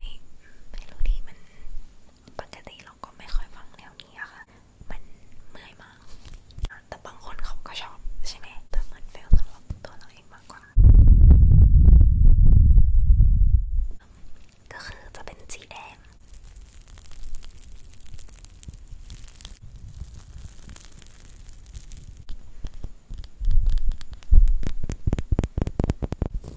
ไม่รู้ดีมันปกติเราก็ไม่ค่อยฟังแนวนี้อะค่ะ มันเมื่อยมาก แต่บางคนเขาก็ชอบใช่ไหมแต่มันเฟลสำหรับตัวเราเองมากกว่า ก็คือจะเป็นสีแดง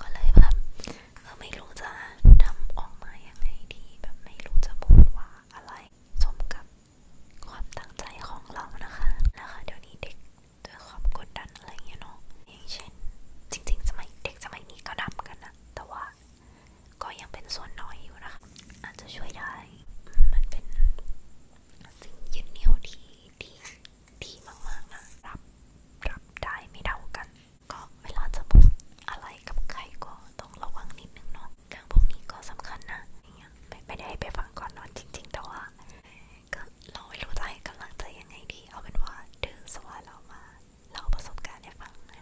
ก็เลยแบบเออไม่รู้จะทำออกมายังไงดี แบบไม่รู้จะพูดว่าอะไรสมกับความตั้งใจของเรานะคะนะคะเดี๋ยวนี้เด็กด้วยความกดดันอะไรเงี้ยเนาะอย่างเช่น จริงๆ สมัยเด็กสมัยนี้ก็ดำกันนะแต่ว่าก็ยังเป็นส่วนน้อยอยู่นะคะอาจจะช่วยได้มันเป็นสิ่งยึดเหนี่ยวที่ดีดีมากๆนะรับรับได้ไม่เท่ากันก็เวลาจะพูดอะไรกับใครก็ต้องระวังนิดนึงเนาะเรื่องพวกนี้ก็สำคัญนะอย่างเงี้ยไม่ได้ไปฟังก่อนนอนจริงๆแต่ว่าก็เราไม่รู้จะให้กำลังใจยังไงดีเอาเป็นว่าดื้อสว่าเรามาเล่าประสบการณ์ให้ฟังนะ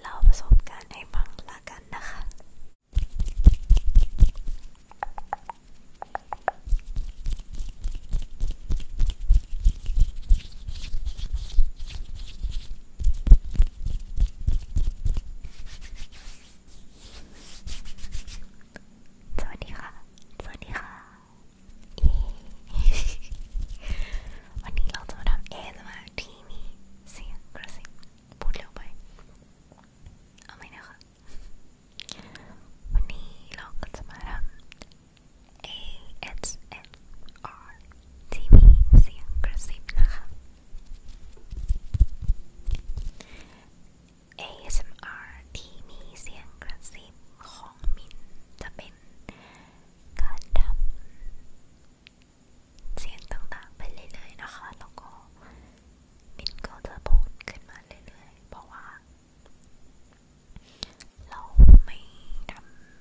เล่าประสบการณ์ให้ฟังละกันนะคะสวัสดีค่ะ สวัสดีค่ะวันนี้เราจะมาทำเอสมาที่มีเสียงกระซิบพูดเร็วไปเอาไหมนะคะ วันนี้เราก็จะมาทำ ASMR ที่มีเสียงกระซิบนะคะ ASMR ที่มีเสียงกระซิบของมินจะเป็นการทำเสียงต่างๆไปเรื่อยๆนะคะ แล้วก็มินก็จะพูดขึ้นมาเรื่อยๆเพราะว่าเราไม่ท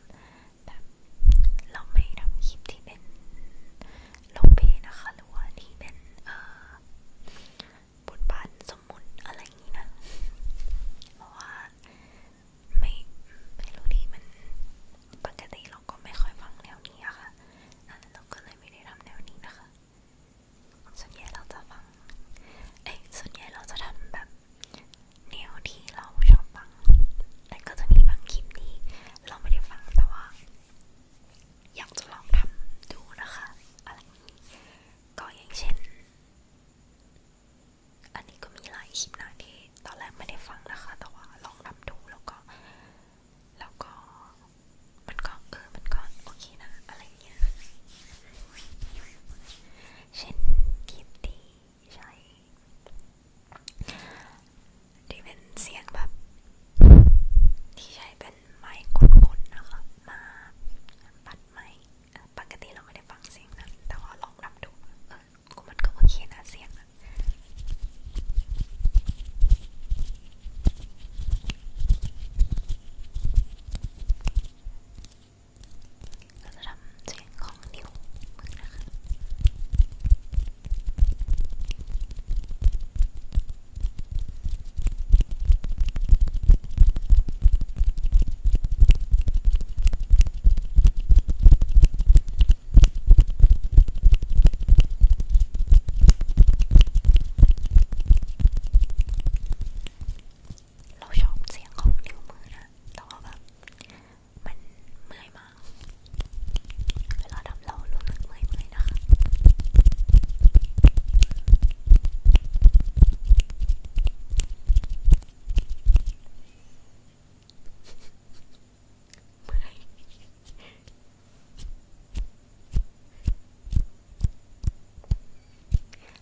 ำแบบเราไม่ทำคลิปที่เป็นโลเปนะคะหรือว่าที่เป็นเอ่อบทบาทสมมุติอะไรอย่างนี้นะเพราะว่าไม่ไม่รู้ดีมันปกติเราก็ไม่ค่อยฟังแนวนี้อะคะ่ะเราก็เลยไม่ได้ทำแนวนี้นะคะส่วนใหญ่เราจะฟังเอ้ยส่วนใหญ่เราจะทำแบบแนวที่เราชอบฟังแต่ก็จะมีบางคลิปที่เราไม่ได้ฟังแต่ว่าอยากจะลองทำดูนะคะอะไรนี้ก็อย่างเช่น อันนี้ก็มีหลายคลิปนะที่ตอนแรกไม่ได้ฟังนะคะ แต่ว่าลองทำดูแล้วก็ แล้วก็มันก็ เออมันก็โอเคนะอะไรเงี้ยเช่นคลิปที่ใช่ที่เป็นเสียงแบบที่ใช้เป็นไม้คุ้นๆนะคะมาปัดไม้ปกติเราไม่ได้ฟังเสียงนะแต่ว่าลองรับดูเออกูมันก็โอเคนะเสียงนะก็จะทำเสียงของนิ้วมือนะคะเราชอบเสียงของนิ้วมือนะแต่ว่าแบบมันเมื่อยมาก เวลาทำเรารู้สึกเมื่อยๆนะคะ เมื่อ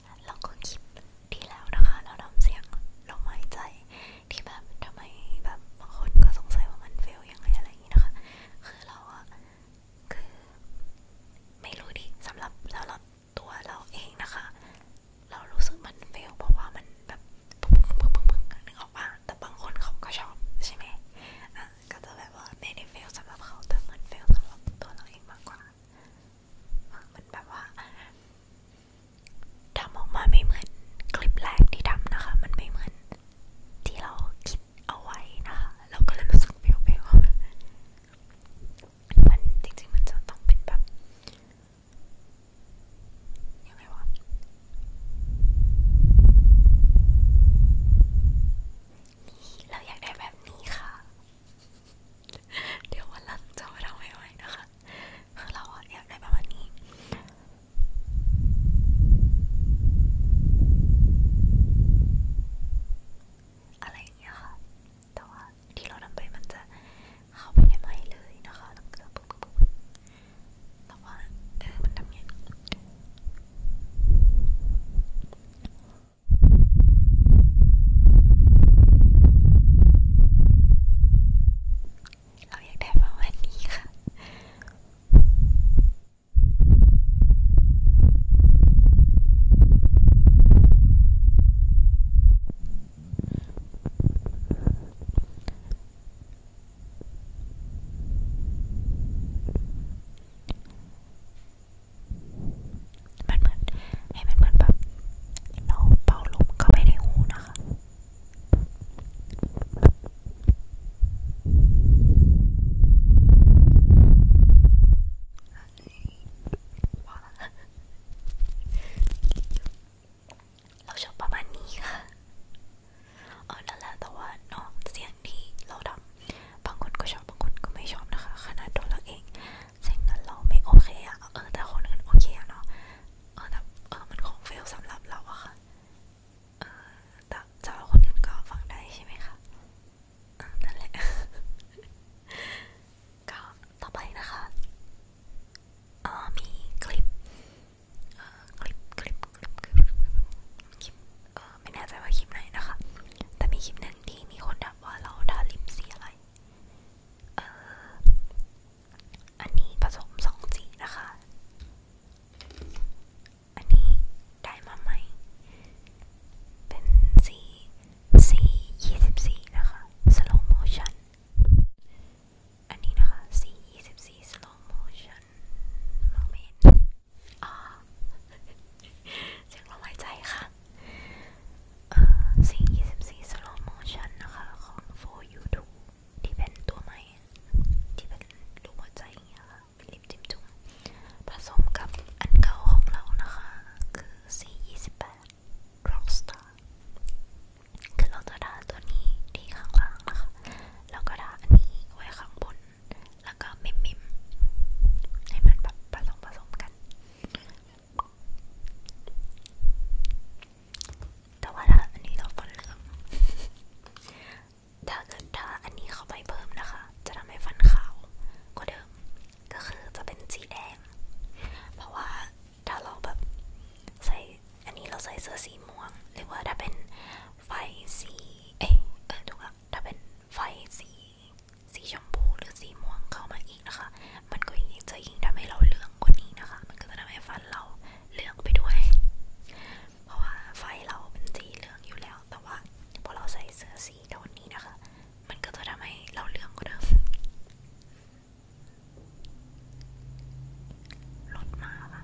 ยเราก็คิดดีแล้วนะคะเราทำเสียงลมหายใจที่แบบทำไมแบบบางคนก็สงสัยว่ามันเฟลยังไงอะไรอย่างนี้นะคะ คือเราอะคือไม่รู้ดิสำหรับสำหรับตัวเราเองนะคะ เรารู้สึกมันเฟลเพราะว่ามันแบบปึ๊งปึ๊งปึ๊งปึ๊งนึกออกป่ะแต่บางคนเขาก็ชอบใช่ไหมอ่ะก็จะแบบว่าไม่ได้เฟลสำหรับเขาแต่มันเฟลสำหรับตัวเราเองมากกว่ามันแบบว่าทำออกมาไม่เหมือนคลิปแรกที่ทำนะคะ มันไม่เหมือนที่เราคิดเอาไว้นะคะ เราก็เลยรู้สึกเปรี้ยวๆมันจริงๆมันจะต้องเป็นแบบ ยังไงวะนี่เราอยากได้แบบนี้ค่ะเดี๋ยววันหลังจะมาทำไว้ๆนะคะ คือเราอยากได้ประมาณนี้ อะไรอย่างเงี้ยค่ะ แต่ว่าที่เราทำไปมันจะเข้าไปในไม้เลยนะคะแล้วก็ปุ๊บปุ๊บปุ๊บแต่ว่าเออมันทำเงี้ยเราอยากได้ประมาณนี้ค่ะมันเหมือนให้มันเหมือนแบบเราเป่าลมเข้าไปในหูนะคะ เราชอบประมาณนี้ค่ะเออนั่นแหละแต่ว่าเนาะเสียงที่เราดับบางคนก็ชอบ บางคนก็ไม่ชอบนะคะ ขนาดตัวเราเองเงนนเราไม่โอเคอะเออแต่คนอื่นโอเคเนาะ เออแต่เออมันของเฟลสำหรับเราอะค่ะ เออแต่สำหคนอื่นก็ฟังได้ใช่ไหมคะ นั่นแหละ ก็ต่อไปนะคะ เออมีคลิป เออคลิปคลิปคลิปคลิป เออไม่แน่ใจว่าคลิปไหนนะคะ แต่มีคลิปหนึ่งที่มีคนถามว่าเราทาลิปสีอะไรเอออันนี้ผสมสองสีนะคะ อันนี้ได้มาใหม่ เป็นสีสียี่สิบสี่นะคะสโลโมชันอันนี้นะคะสียี่สิบสี่สโลโมชันมองไม่เห็นอ๋อเสียงลมหายใจค่ะสิ่ง24 slow motion นะคะของ for youtube ที่เป็นตัวใหม่ที่เป็นรูปหัวใจอย่างเงี้ยค่ะเป็นลิปจิ้มจุ่มผสมกับอันเก่าของเรานะคะ คือ428 rockstar คือเราจะดาตัวนี้ที่ข้างล่างนะคะแล้วก็ดาอันนี้ไว้ข้างบนแล้วก็มิมมิมให้มันแบบผสมผสมกันแต่ว่าถ้าอันนี้เราฟันเหลือง ถ้าเกิดถ้าอันนี้เข้าไปเพิ่มนะคะ จะทำให้ฟันขาวกว่าเดิม ก็คือจะเป็นสีแดง เพราะว่าถ้าเราแบบใส่อันนี้เราใส่เสื้อสีม่วง หรือว่าถ้าเป็นไฟสี เอ๊ะเออถูกละถ้าเป็นไฟสีสีชมพูหรือสีม่วงเข้ามาอีกนะคะมันก็ยิ่งจะยิ่งทำให้เราเลื่องกว่านี้นะคะ มันก็จะทำให้ฟันเราเลื่องไปด้วย เพราะว่าไฟเราเป็นสีเหลืองอยู่แล้ว แต่ว่า พอเราใส่เสื้อสีโทนนี้นะคะ มันก็จะทำให้เราเลื่องกว่าเดิมรถมาค่ะ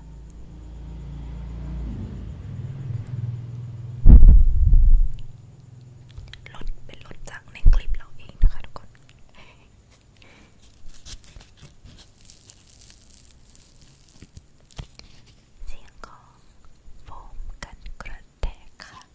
รถเป็นรถจากในคลิปเราเองนะคะทุกคนเสียงของโฟมกันกระแทกค่ะเ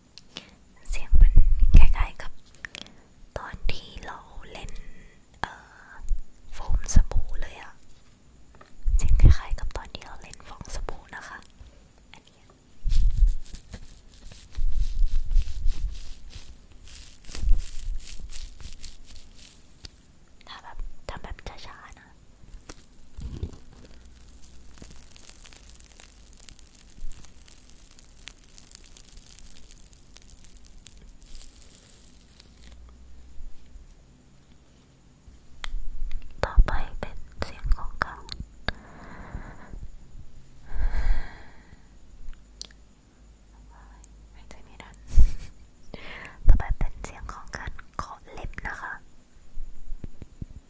เสียงมันคล้ายๆกับตอนที่เราเล่นโฟมสบู่เลยอะเสียงคล้ายๆกับตอนที่เราเล่นฟองสบู่นะคะ อันนี้ถ้าแบบ ทำแบบช้าๆนะต่อไปเป็นเสียงของเขาไม่ใช่ไม่ดันต่อไปเป็นเสียงของการขอเล็บนะคะเ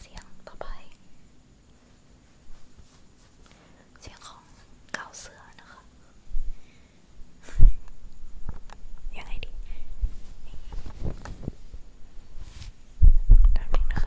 เสียงต่อไป เสียงของเก่าเสือนะคะ ยังไงดีดังนี้นะคะ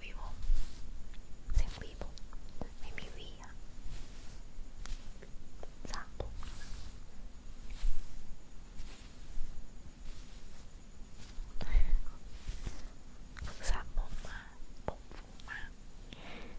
วีโวเสียงวีโวไม่มีวีอ่ะสามปุ๊บสามปุ๊บมาปุ๊บฟูมากเ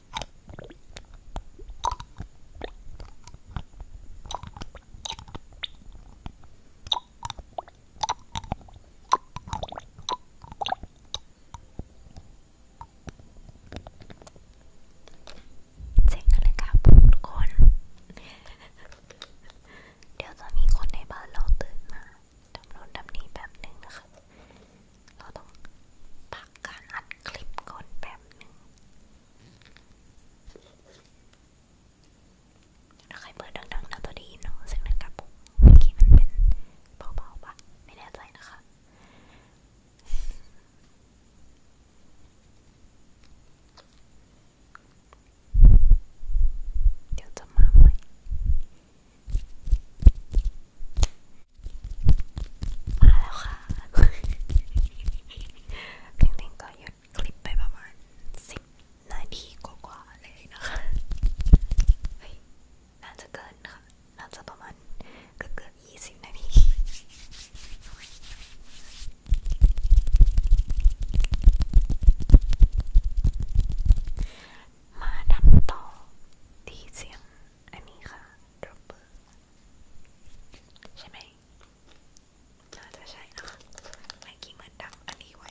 เจ๋งกันเลยค่ะทุกคน เดี๋ยวจะมีคนในบ้านเราตื่นมาทำโน่นทำนี้แบบหนึ่งนะคะเราต้องพักการอัดคลิปก่อนแป๊บหนึ่งถ้าใครเปิดดังๆนะตัวดีเนาะเสียงดังกระปุกเมื่อกี้มันเป็นเบาๆปะไม่แน่ใจนะคะ เดี๋ยวจะมาใหม่มาแล้วค่ะพิงพิงก็หยุดคลิปไปประมาณสิบนาทีกว่าๆเลยนะคะเฮ้ยน่าจะเกินค่ะ น่าจะประมาณเกือบเกือบยี่สิบนาที มาทำต่อที่เสียงอันนี้ค่ะระเบิดใช่ไหมน่าจะใช่นะเมื่อกี้เหมือนดักอันนี้ไว้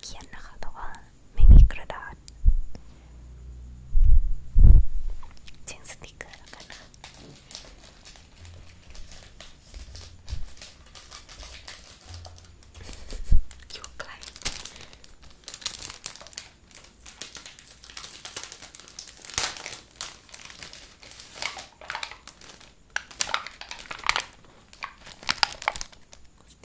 เขียนนะคะแต่ว่าไม่มีกระดาษเช่นสติกเกอร์แล้วกันค่ะอยู่ไกลส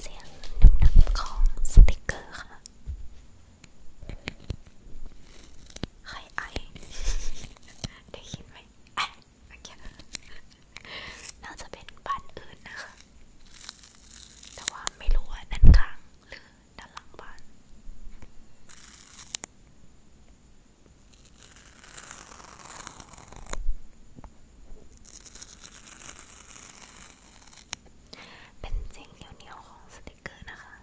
เสียงดังๆของสติกเกอร์ค่ะใครไอได้ยินไหมไอโอเคน่าจะเป็นบ้านอื่นนะคะ แต่ว่าไม่รู้ว่าด้านข้างหรือด้านหลังบ้านเป็นเสียงเหนียวๆของสติกเกอร์นะคะ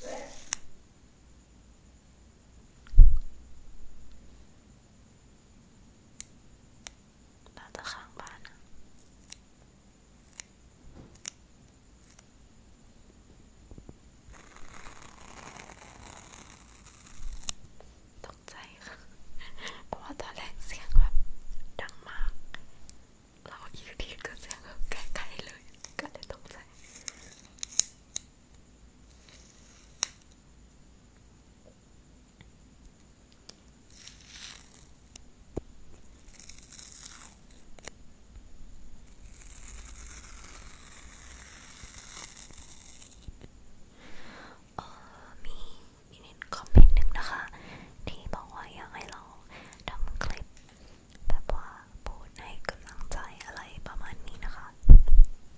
เน่าจะข้างบ้านนะตกใจค่ะเพราะว่าตอนแรกเสียงแบบดังมาก เราอยู่ดีก็เสียงแบบใกล้ๆเลย ก็เลยตกใจเออมีมีนิดคอมเมนต์หนึ่งนะคะ ที่บอกว่าอยากให้เราทำคลิปแบบว่าพูดให้กำลังใจอะไรประมาณนี้นะคะเ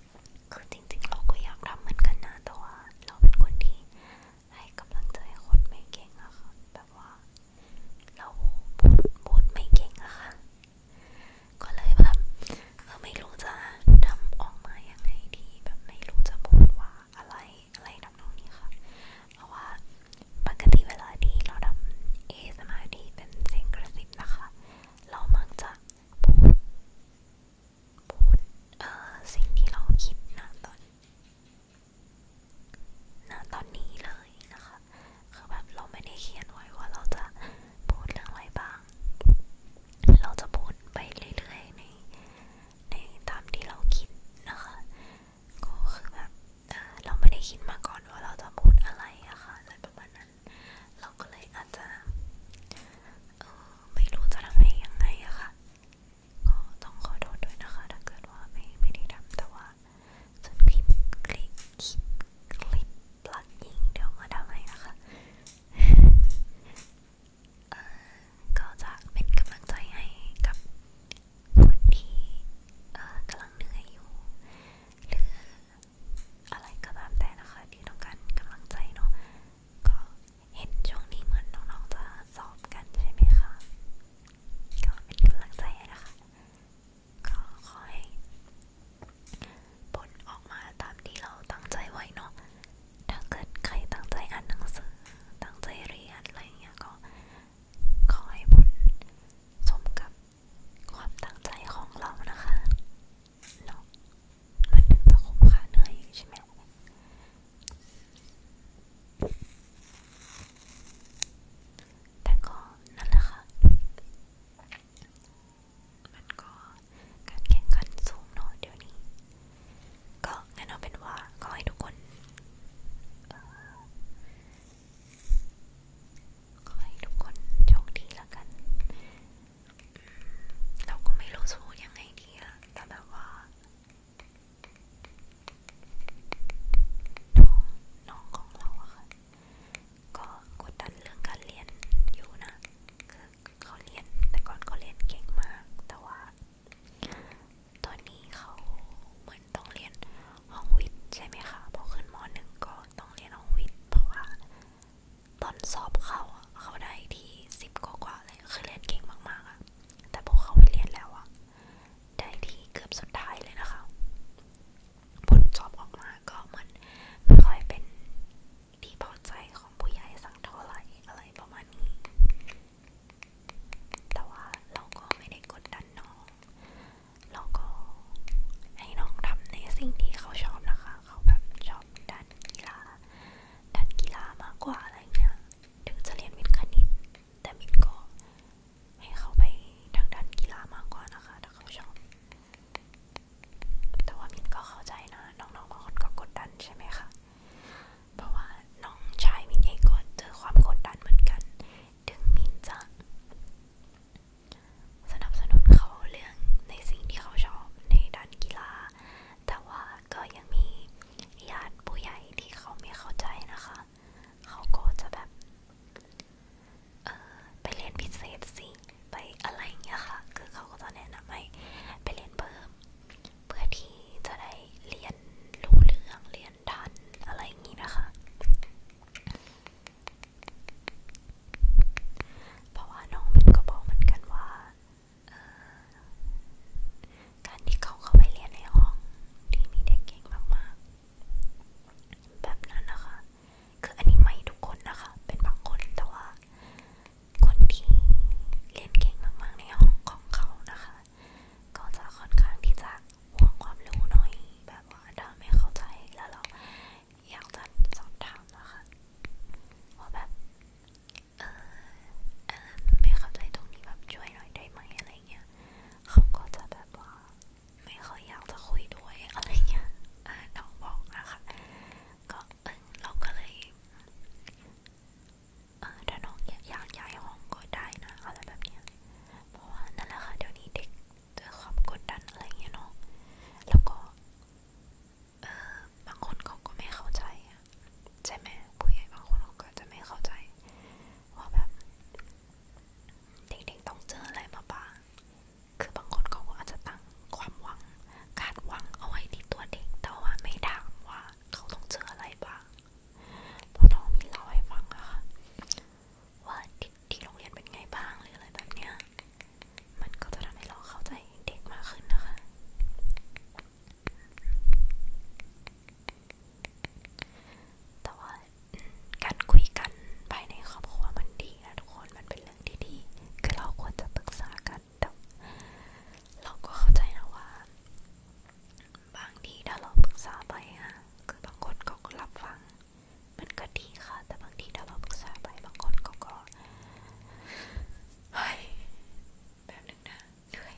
คือจริงๆเราก็อยากทำเหมือนกันนะ แต่ว่าเราเป็นคนที่ ให้กำลังใจคนไม่เก่งอะค่ะแบบว่า เราพูดพูดไม่เก่งอะค่ะก็เลยแบบเราไม่รู้จะทำออกมายังไงดี แบบไม่รู้จะพูดว่าอะไรอะไรทำนองนี้ค่ะ เพราะว่าปกติเวลาที่เราทำเอสมาธิเป็นเสียงกระซิบนะคะ เรามักจะพูดพูดเออสิ่งที่เราคิดนะตอน นะตอนนี้เลยนะคะ คือแบบเราไม่ได้เขียนไว้ว่าเราจะพูดเรื่องอะไรบ้าง เราจะพูดไปเรื่อยๆใน ในตามที่เราคิดนะคะ ก็คือแบบเออเราไม่ได้คิดมาก่อนว่าเราจะพูดอะไรอะคะ่ะอะไรประมาณนั้นเราก็เลยอาจจะเออไม่รู้จะทำให้ยังไงอะค่ะก็ต้องขอโทษด้วยนะคะถ้าเกิดว่าไม่ไม่ได้ทำแต่ว่าส่วนคลิปคลิปคลิปปลักยิงเดี๋ยวมาทำให้นะคะก็จะเป็นกำลังใจให้กับคนที่กำลังเหนื่อยอยู่หรืออะไรก็ตามแต่นะคะที่ต้องการกำลังใจเนาะก็เห็นช่วงนี้เหมือนน้องๆจะสอบกันใช่ไหมคะ ก็เป็นกำลังใจนะคะก็ขอให้ผลออกมาตามที่เราตั้งใจไว้เนาะถ้าเกิดใครตั้งใจอ่านหนังสือ ตั้งใจเรียนอะไรเงี้ยก็ขอให้ผลสมกับความตั้งใจของเรานะคะเนาะมันถึงจะคุ้มค่าเหนื่อยใช่ไหมแต่ก็นั่นแหละค่ะ มันก็การแข่งขันสูงเนาะเดี๋ยวนี้ ก็งั้นเอาเป็นว่าก็ให้ทุกคนขอให้ทุกคนโชคดีละกันเราก็ไม่รู้สูยังไงดีอะแต่แบบว่าน้องน้องของเราอะค่ะก็กดดันเรื่องการเรียนอยู่นะ คือเขาเรียน แต่ก่อนเขาเรียนเก่งมาก แต่ว่าตอนนี้เขาเหมือนต้องเรียนห้องวิทย์ใช่ไหมคะพอขึ้นมหนึ่งก็ต้องเรียนห้องวิทย์เพราะว่าตอนสอบเขาเขาได้ที่สิบกว่าๆเลย คือเรียนเก่งมากๆอะแต่พอเขาไปเรียนแล้วอะได้ที่เกือบสุดท้ายเลยนะคะ ผลสอบออกมาก็เหมือนไม่ค่อยเป็นที่พอใจของผู้ใหญ่สักเท่าไหร่อะไรประมาณนี้ แต่ว่าเราก็ไม่ได้กดดันน้อง เราก็ให้น้องทำในสิ่งที่เขาชอบนะคะเขาแบบชอบด้านกีฬาด้านกีฬามากกว่าอะไรเงี้ย ถึงจะเรียนวิทย์คณิต แต่มินก็ให้เขาไปทางด้านกีฬามากกว่านะคะถ้าเขาชอบแต่ว่ามินก็เข้าใจนะน้องๆบางคนก็กดดันใช่ไหมคะ เพราะว่าน้องชายมินเองก็เจอความกดดันเหมือนกัน ถึงมินจะสนับสนุนเขาเรื่องในสิ่งที่เขาชอบในด้านกีฬา แต่ว่าก็ยังมีญาติผู้ใหญ่ที่เขาไม่เข้าใจนะคะ เขาก็จะแบบเออไปเรียนพิเศษสิไปอะไรอย่างเงี้ยค่ะ คือเขาก็จะแนะนำให้ไปเรียนเพิ่ม เพื่อที่จะได้เรียนรู้เรื่องเรียนทันอะไรอย่างงี้นะคะเพราะว่าน้องมินก็บอกเหมือนกันว่าการที่เขาเข้าไปเรียนในห้องที่มีเด็กเก่งมากๆ แบบนั้นนะคะคืออันนี้ไม่ทุกคนนะคะเป็นบางคนแต่ว่า คนที่เรียนเก่งมากๆในห้องของเขานะคะ ก็จะค่อนข้างที่จะหวงความรู้หน่อยแบบว่าถ้าไม่เข้าใจแล้วเราอยากจะสอบถามนะคะว่าแบบเอออันนั้นไม่เข้าใจตรงนี้แบบช่วยหน่อยได้ไหมอะไรเงี้ยเขาก็จะแบบว่าไม่ค่อยอยากจะคุยด้วยอะไรเงี้ยน้องบอกนะคะก็เออเราก็เลยเออถ้าน้องอยากย้ายห้องก็ได้นะอะไรแบบเนี้ยเพราะว่านั่นแหละค่ะเดี๋ยวนี้เด็กเจอความกดดันอะไรเงี้ยเนาะแล้วก็เออบางคนเขาก็ไม่เข้าใจอะใช่ไหมผู้ใหญ่บางคนเขาก็จะไม่เข้าใจว่าแบบเด็กๆต้องเจออะไรมาบ้างคือบางคนเขาก็อาจจะตั้งความหวังคาดหวังเอาไว้ที่ตัวเด็กแต่ว่าไม่ถามว่าเขาต้องเจออะไรบ้างพอน้องมีเล่าให้ฟังอะค่ะว่าที่โรงเรียนเป็นไงบ้างหรืออะไรแบบเนี้ยมันก็จะทำให้เราเข้าใจเด็กมากขึ้นนะคะ แต่ว่าการคุยกัน ภายในครอบครัวมันดีนะ ทุกคนมันเป็นเรื่องที่ดีคือเราควรจะปรึกษากันแต่เราก็เข้าใจนะว่า บางทีถ้าเราปรึกษาไปอะคือบางคนเขาก็รับฟังมันก็ดีค่ะแต่บางทีถ้าเราปรึกษาไปบางคนก็ก็เฮ้ยแบบนึงนะเหนื่อย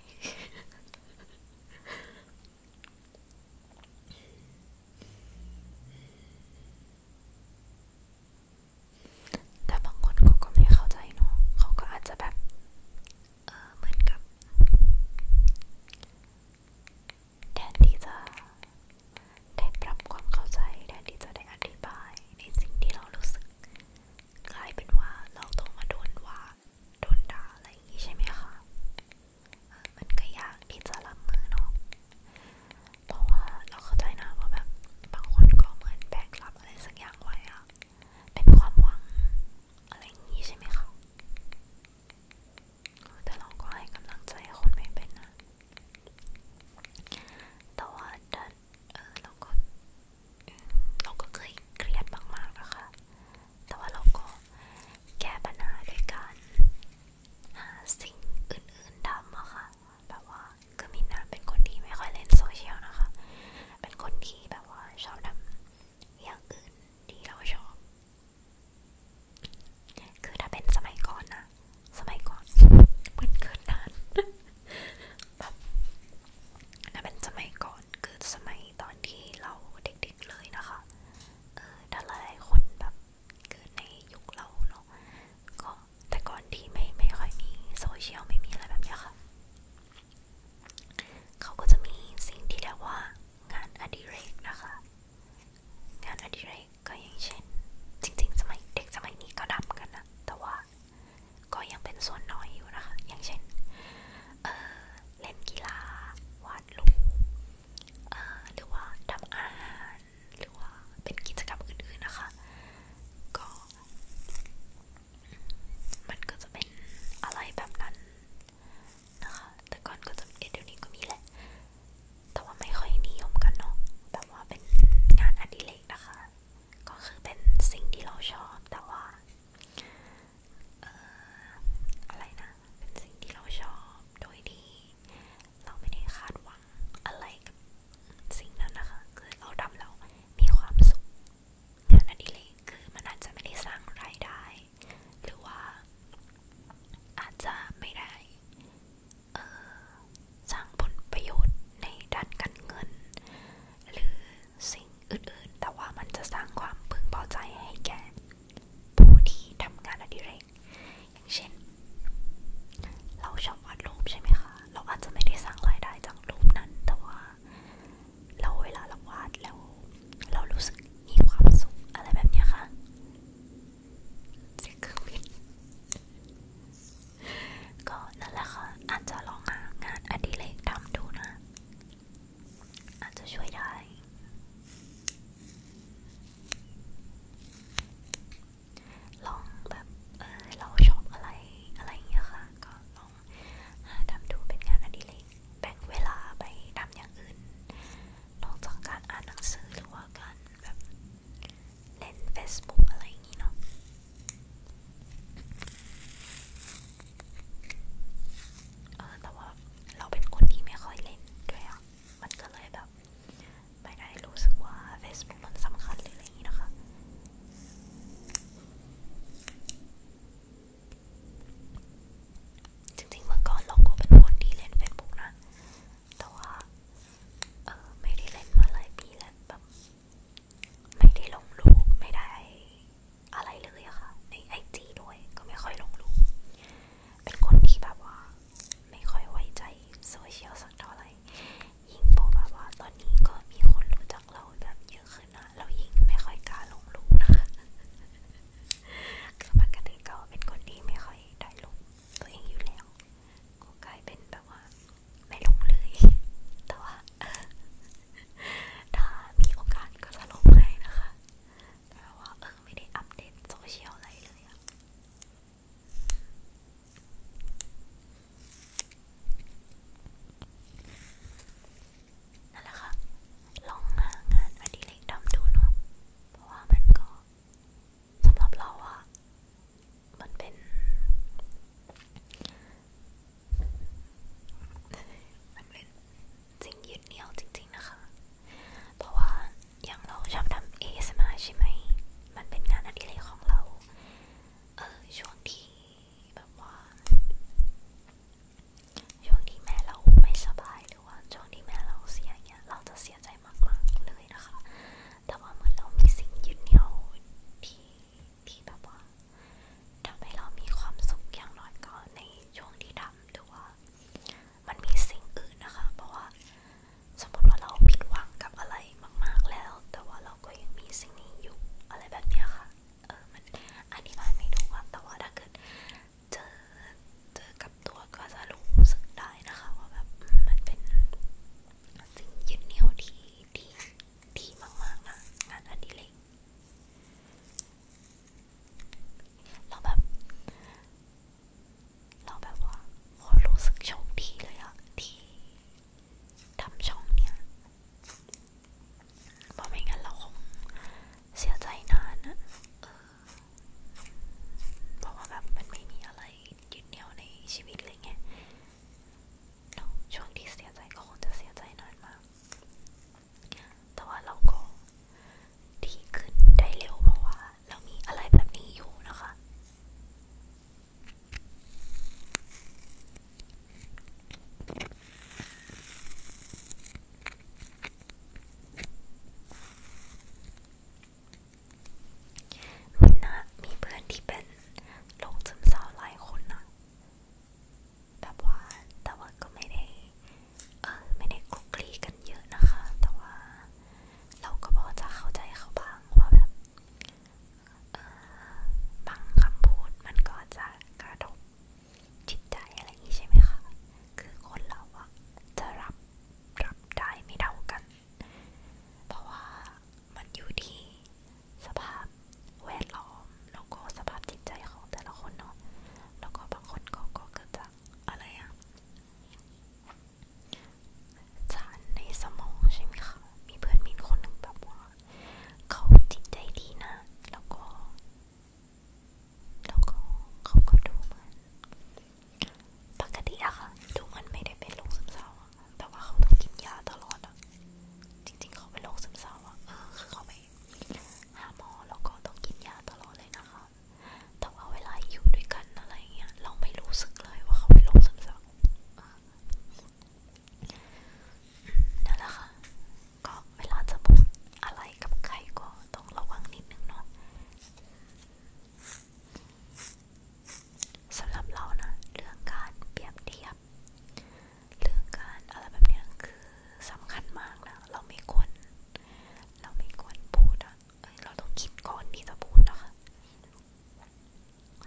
แต่บางคนเขาก็ไม่เข้าใจเนาะเขาก็อาจจะแบบเออเหมือนกับแทนที่จะได้ปรับความเข้าใจแทนที่จะได้อธิบายในสิ่งที่เรารู้สึกกลายเป็นว่าเราต้องมาโดนว่าโดนด่าอะไรอย่างนี้ใช่ไหมคะมันก็ยากที่จะรับมือเนาะเพราะว่าเราเข้าใจนะว่าแบบบางคนก็เหมือนแบกรับอะไรสักอย่างไว้อะเป็นความหวังอะไรอย่างนี้ใช่ไหมคะแต่เราก็ให้กำลังใจคนไม่เป็นนะแต่ว่าดันเออเราก็ เราก็เคยเครียดมากๆนะคะแต่ว่าเราก็ แก้ปัญหาด้วยการหาสิ่งอื่นๆทำอะค่ะ แบบว่า คือมินนาเป็นคนที่ไม่ค่อยเล่นโซเชียลนะคะ เป็นคนที่แบบว่าชอบทำอย่างอื่น ที่เราชอบ คือถ้าเป็นสมัยก่อนนะสมัยก่อนมึนเกินนานแบบน่าเป็นสมัยก่อนคือสมัยตอนที่เราเด็กๆเลยนะคะถ้าหลยคนแบบเกิดในยุคเราเนาะก็แต่ก่อนที่ไม่ไม่ค่อยมีโซเชียลไม่มีอะไรแบบนี้ค่ะเขาก็จะมีสิ่งที่เรียกว่างานอดิเรกนะคะ งานอดิเรก็อย่างเช่นจริงๆสมัยเด็กสมัยนี้ก็ดำกันนะแต่ว่าก็ยังเป็นส่วนน้อยอยู่นะคะ อย่างเช่นเเล่นกีฬาวาดรูปหรือว่าทำอาหารหรือว่าเป็นกิจกรรมอื่นๆนะคะก็มันก็จะเป็นอะไรแบบนั้นนะคะแต่ก่อนก็จะเดี๋ยวนี้ก็มีแหละแต่ว่าไม่ค่อยนิยมกันเนาะแบบว่าเป็นงานอดิเรกนะคะ ก็คือเป็นสิ่งที่เราชอบ แต่ว่าเอ่ออะไรนะ เป็นสิ่งที่เราชอบโดยที่เราไม่ได้คาดหวังอะไรกับสิ่งนั้นนะคะ คือเราทำแล้วมีความสุข งานอดิเรกคือมันอาจจะไม่ได้สร้างรายได้ หรือว่า อาจจะไม่ได้สร้างผลประโยชน์ในด้านการเงิน หรือสิ่งอื่นๆ แต่ว่ามันจะสร้างความพึงพอใจให้แก่ ผู้ที่ทำงานอดิเรก อย่างเช่น เราชอบวาดรูปใช่ไหมคะ เราอาจจะไม่ได้สร้างรายได้จากรูปนั้นแต่ว่าเราเวลาเราวาดแล้ว เรารู้สึกมีความสุขอะไรแบบนี้คะ่ะเสียงเครื่องบินก็นั่นแหละค่ะอาจจะลองหางานอดิเรกทำดูนะ อาจจะช่วยได้ ลองแบบเออเราชอบอะไรอะไรอย่างเงี้ยค่ะ ก็ลองหาทำดูเป็นงานอดิเรกแบ่งเวลาไปทำอย่างอื่นนอกจากการอ่านหนังสือหรือว่าการแบบเล่น Facebook อะไรอย่างนี้เนาะเออแต่ว่าเราเป็นคนที่ไม่ค่อยเล่นด้วยอะมันก็เลยแบบไม่ได้รู้สึกว่า Facebook มันสำคัญหรืออะไรอย่างนี้นะคะ จริงๆเมื่อก่อนเราก็เป็นคนที่เล่น Facebook นะแต่ว่าเออไม่ได้เล่นมาหลายปีแล้วแบบไม่ได้ลงรูปไม่ได้อะไรเลยอะค่ะในไอจีด้วยก็ไม่ค่อยลงรูปเป็นคนที่แบบว่า ไม่ค่อยไว้ใจโซเชียลสักเท่าไหร่ยิ่งพอแบบว่า ตอนนี้ก็มีคนรู้จักเราแบบเยอะขึ้นนะเรายิ่งไม่ค่อยกล้าลงรูปนะคะคือปกติก็เป็นคนที่ไม่ค่อยได้ลงตัวเองอยู่แล้วก็กลายเป็นแบบว่าไม่ลงเลย แต่ว่าถ้ามีโอกาสก็จะลงให้นะคะ แต่ว่าเออไม่ได้อัปเดตโซเชียลอะไรเลยอะนั่นแหละค่ะ ลองหางานอดิเรกทำดูเนาะเพราะว่ามันก็สำหรับเราอะมันเป็นมันเป็นสิ่งยึดเหนี่ยวจริงๆนะคะ เพราะว่าอย่างเราชอบทำเอสมาใช่ไหม มันเป็นงานอดิเรกของเรา เออ ช่วงที่แบบว่าช่วงที่แม่เราไม่สบายหรือว่าช่วงที่แม่เราเสียเงี้ยเราจะเสียใจมากๆเลยนะคะแต่ว่าเหมือนเรามีสิ่งยึดเหนี่ยวที่ที่แบบว่าทำให้เรามีความสุขอย่างน้อยก็ในช่วงที่ทำถือว่ามันมีสิ่งอื่นนะคะ เพราะว่า สมมติว่าเราผิดหวังกับอะไรมากๆแล้ว แต่ว่าเราก็ยังมีสิ่งนี้อยู่อะไรแบบนี้ค่ะ เออมันอธิบายไม่ถูกอะแต่ว่าถ้าเกิดเจอเจอกับตัวก็จะรู้สึกได้นะคะ ว่าแบบมันเป็นสิ่งยึดเหนี่ยวที่ที่ดีมากๆนะงานอดิเรกเราแบบเราแบบว่าโหรู้สึกโชคดีเลยอะที่ทำช่องเนี่ยเพราะไม่งั้นเราคง เสียใจนานนะเออเพราะว่าแบบมันไม่มีอะไรยึดเหนี่ยวในชีวิตเลยไงเนาะช่วงที่เสียใจก็คงจะเสียใจนานมาก แต่ว่าเราก็ดีขึ้นได้เร็ว เพราะว่าเรามีอะไรแบบนี้อยู่นะคะมินนะมีเพื่อนที่เป็นโรคซึมเศร้าหลายคนนะแบบว่าแต่ว่าก็ไม่ได้เออไม่ได้คลุกคลีกันเยอะนะคะ แต่ว่าเราก็พอจะเข้าใจเขาบ้างว่าแบบเออบางคำพูดมันก็จะกระทบจิตใจอะไรอย่างนี้ใช่ไหมคะคือคนเราอะจะรับรับได้ไม่เท่ากัน เพราะว่ามันอยู่ที่สภาพแวดล้อม แล้วก็สภาพจิตใจของแต่ละคนเนาะ แล้วก็บางคนก็ก็เกิดจากอะไรอะสารในสมองใช่ไหมคะ มีเพื่อนมินคนหนึ่งแบบว่า เขาจิตใจดีนะ แล้วก็ แล้วก็เขาก็ดูเหมือนปกติอะค่ะดูมันไม่ได้เป็นโรคซึมเศร้าอะแต่ว่าเขาต้องกินยาตลอดอะจริงๆเขาเป็นโรคซึมเศร้าอะเออคือเขาไปหาหมอแล้วก็ต้องกินยาตลอดเลยนะคะแต่ว่าเวลาอยู่ด้วยกันอะไรเงี้ยเราไม่รู้สึกเลยว่าเขาเป็นโรคซึมเศร้านั่นแหละค่ะก็เวลาจะพูดอะไรกับใครก็ต้องระวังนิดนึงเนาะสำหรับเรานะเรื่องการเปรียบเทียบ เรื่องการอะไรแบบนี้คือสำคัญมากนะเราไม่ควรเราไม่ควรพูดอะเอ้ยเราต้องคิดก่อนที่จะพูดนะคะ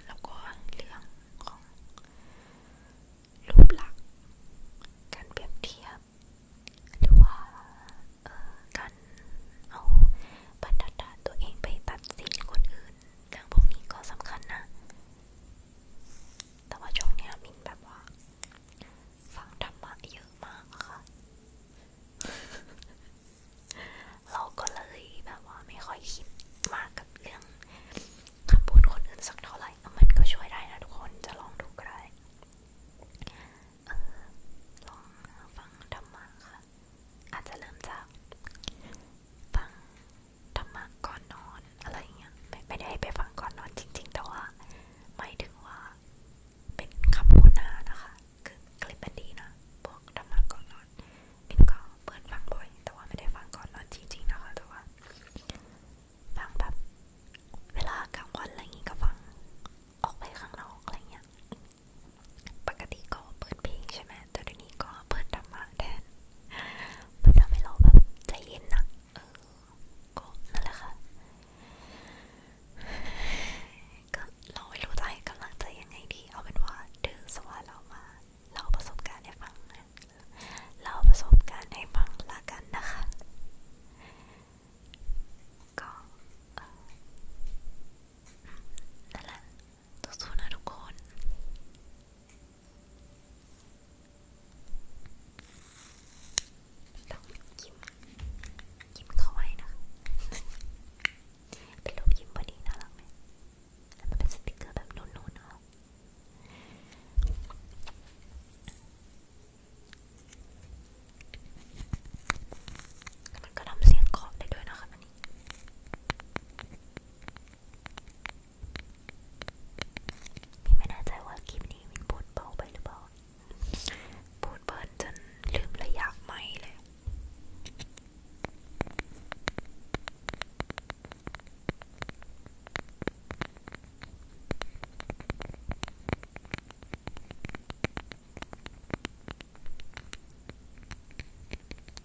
แล้วก็เรื่องของ รูปลักษณ์การเปรียบเทียบ หรือว่าการเอาบรรทัดฐานตัวเองไปตัดสินคนอื่นเรื่องพวกนี้ก็สำคัญนะ แต่ว่าช่วงเนี้ยมินแบบว่า ฟังธรรมะเยอะมากอะค่ะ เราก็เลยแบบว่าไม่ค่อยคิดมากกับเรื่องคำพูดคนอื่นสักเท่าไหร่ มันก็ช่วยได้นะทุกคนจะลองดูก็ได้ ลองฟังธรรมะค่ะอาจจะเริ่มจากฟังธรรมะก่อนนอนอะไรเงี้ยไม่ไม่ได้ไปฟังก่อนนอนจริง ๆ แต่ว่าหมายถึงว่า เป็นคำโฆษณานะคะ คือคลิปมันดีนะ พวกธรรมะก่อนนอน เป็นก็เปิดฟังบ่อยแต่ว่าไม่ได้ฟังก่อนนอนจริง ๆนะคะแต่ว่าฟังแบบเวลากลางวันอะไรเงี้ยก็ฟังออกไปข้างนอกอะไรเงี้ยปกติก็เปิดเพลงใช่ไหมแต่เดี๋ยวนี้ก็เปิดธรรมะแทนมันทำให้เราแบบใจเย็นนะเออก็นั่นแหละค่ะ ก็เราไม่รู้จะให้กำลังใจยังไงดี เอาเป็นว่าถือสว่าเรามาเล่าประสบการณ์ให้ฟังเล่าประสบการณ์ให้ฟังละกันนะคะ ก็นั่นแหละสู้ๆนะทุกคนต้องยิ้มยิ้มเข้าไว้นะเป็นรูปยิ้มพอดีน่ารักไหมแล้วมันเป็นสติกเกอร์แบบนุ่นๆเนาะมันก็ทำเสียงขอบได้ด้วยนะคะมันนี่ไม่แน่ใจว่าคลิปนี้มินพูดเบาไปหรือเปล่าพูดเบิร์นจนลืมระยะไม่เลย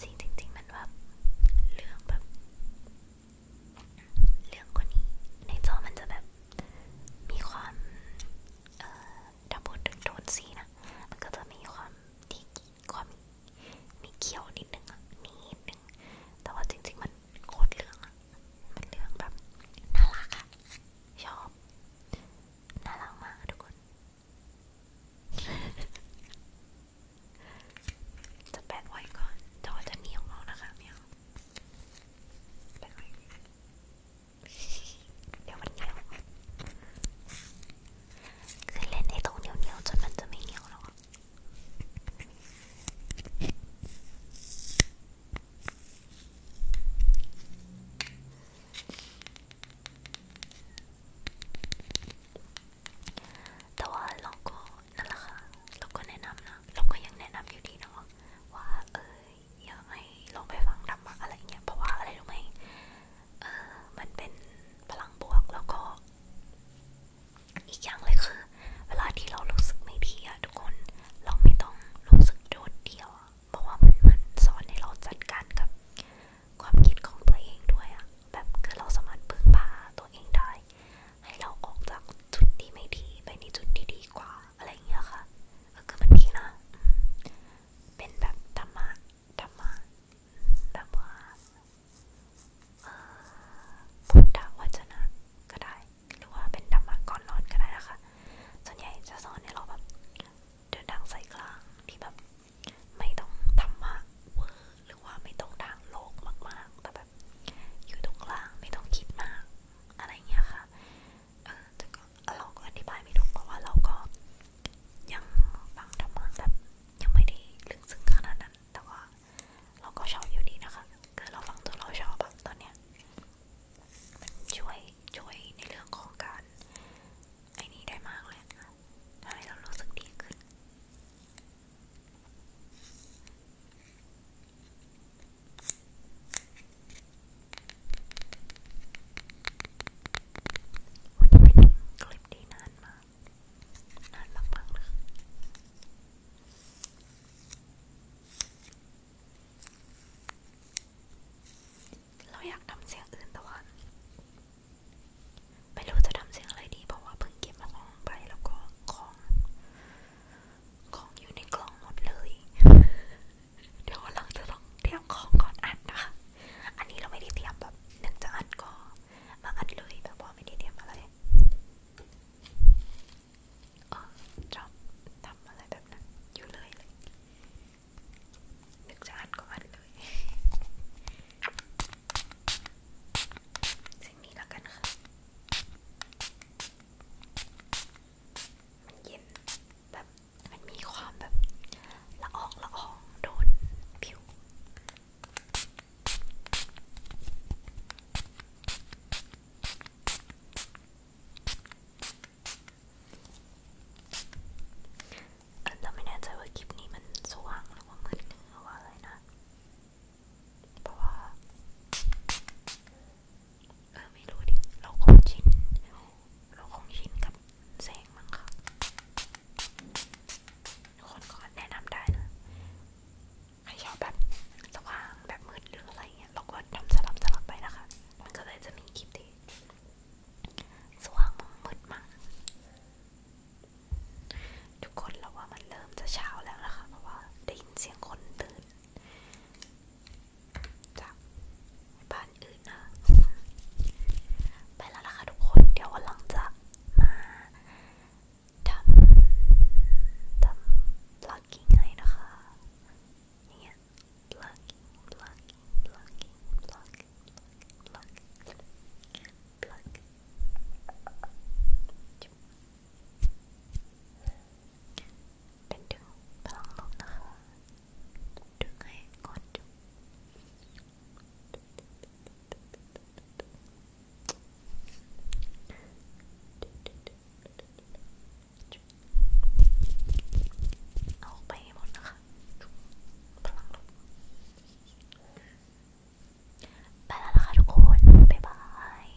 สิ่งจริงๆมันแบบเรื่องแบบเรื่องกว่านี้ในจอมันจะแบบ มีความดับเบิลถึงโทนสีนะมันก็จะมีความที่ความมีเขียวนิดนึงอ่ะนิดนึงแต่ว่าจริงๆมันโคตรเรื่องอ่ะมันเรื่องแบบน่ารักอ่ะชอบน่ารักมากทุกคนจะแปะไว้ก่อนแต่ว่าจะมีของเรานะคะเมียว แปะไว้เดี๋ยวมันเหนียวคือเล่นในตรงเหนียวๆจนมันจะไม่เหนียวแล้วแต่ว่าเราก็นั่นแหละค่ะเราก็แนะนำนะเราก็ยังแนะนำอยู่ดีเนาะว่าเอออย่าให้ลองไปฟังธรรมะอะไรเงี้ยเพราะว่าอะไรรู้ไหมเออมันเป็นพลังบวกแล้วก็ อีกอย่างเลยคือ เวลาที่เรารู้สึกไม่ดีอะทุกคนเราไม่ต้องรู้สึกโดดเดี่ยว เพราะว่ามันมันสอนให้เราจัดการกับ ความคิดของตัวเองด้วยอะแบบคือเราสามารถพึ่งพาตัวเองได้ให้เราออกจากจุดที่ไม่ดีไปในจุดที่ดีกว่าอะไรเงี้ยค่ะก็คือมันดีนะ เป็นแบบธรรมะธรรมะแบบว่าพุทธวจนะก็ได้ หรือว่าเป็นธรรมะก่อนนอนก็ได้นะคะ ส่วนใหญ่จะสอนให้เราแบบเดินทางสายกลางที่แบบไม่ต้องธรรมะเวอร์หรือว่าไม่ต้องทางโลกมากๆแต่แบบอยู่ตรงกลางไม่ต้องคิดมากอะไรเงี้ยค่ะ เออแต่ก็เราก็อธิบายไม่ถูกเพราะว่าเราก็ยังฟังธรรมะแบบยังไม่ได้ลึกซึ้งขนาดนั้น แต่ว่าเราก็ชอบอยู่ดีนะคะคือเราฟังตัวเราชอบแบบตอนเนี้ยมันช่วยช่วยในเรื่องของการไอ้นี้ได้มากเลยทำให้เรารู้สึกดีขึ้นวันนี้เป็นคลิปที่นานมากนานมากๆเลยเราอยากทำเสียงอื่นแต่ว่าไม่รู้จะทำเสียงอะไรดี เพราะว่าเพิ่งเก็บมาของไปแล้วก็ของของอยู่ในกล่องหมดเลยเดี๋ยวเราจะต้องเตรียมของก่อนอัดนะคะอันนี้เราไม่ได้เตรียมแบบหนึ่งจะอัดก็มาอัดเลยแบบว่าไม่ได้เตรียมอะไรอ๋อจอบทำอะไรแบบนั้นอยู่เลยเลยหนึ่งจะอัดก็อัดเลยสิ่งนี้แล้วกันค่ะ มันเย็น แบบ มันมีความแบบ ละอองละอองโดนผิวเราไม่แน่ใจว่าคลิปนี้มันสว่างหรือว่ามืดหรือว่าอะไรนะเพราะว่าเออไม่รู้ดิ เราคงชินเราคงชินกับแสงมั้งค่ะคนก็แนะนำได้นะใครชอบแบบสว่างแบบมืดหรืออะไรเงี้ยเราก็ทำสลับสลับไปนะคะ มันก็เลยจะมีคลิปที่สว่างมั่งมืดมั่งทุกคนเราว่ามันเริ่มจะเช้าแล้วนะคะเพราะว่าได้ยินเสียงคนตื่นจากบ้านอื่นนะไปแล้วล่ะค่ะทุกคนเดี๋ยววันหลังจะมาทำทำ plugging ให้นะคะอย่างเงี้ย plugging plugging plugging plugging plugging plugging pluck. Chip. เป็นดึงพลังลบนะคะดึงให้ก่อนจุกเอาไปหมดนะคะพลังลบไปแล้วนะคะทุกคนบ๊ายบาย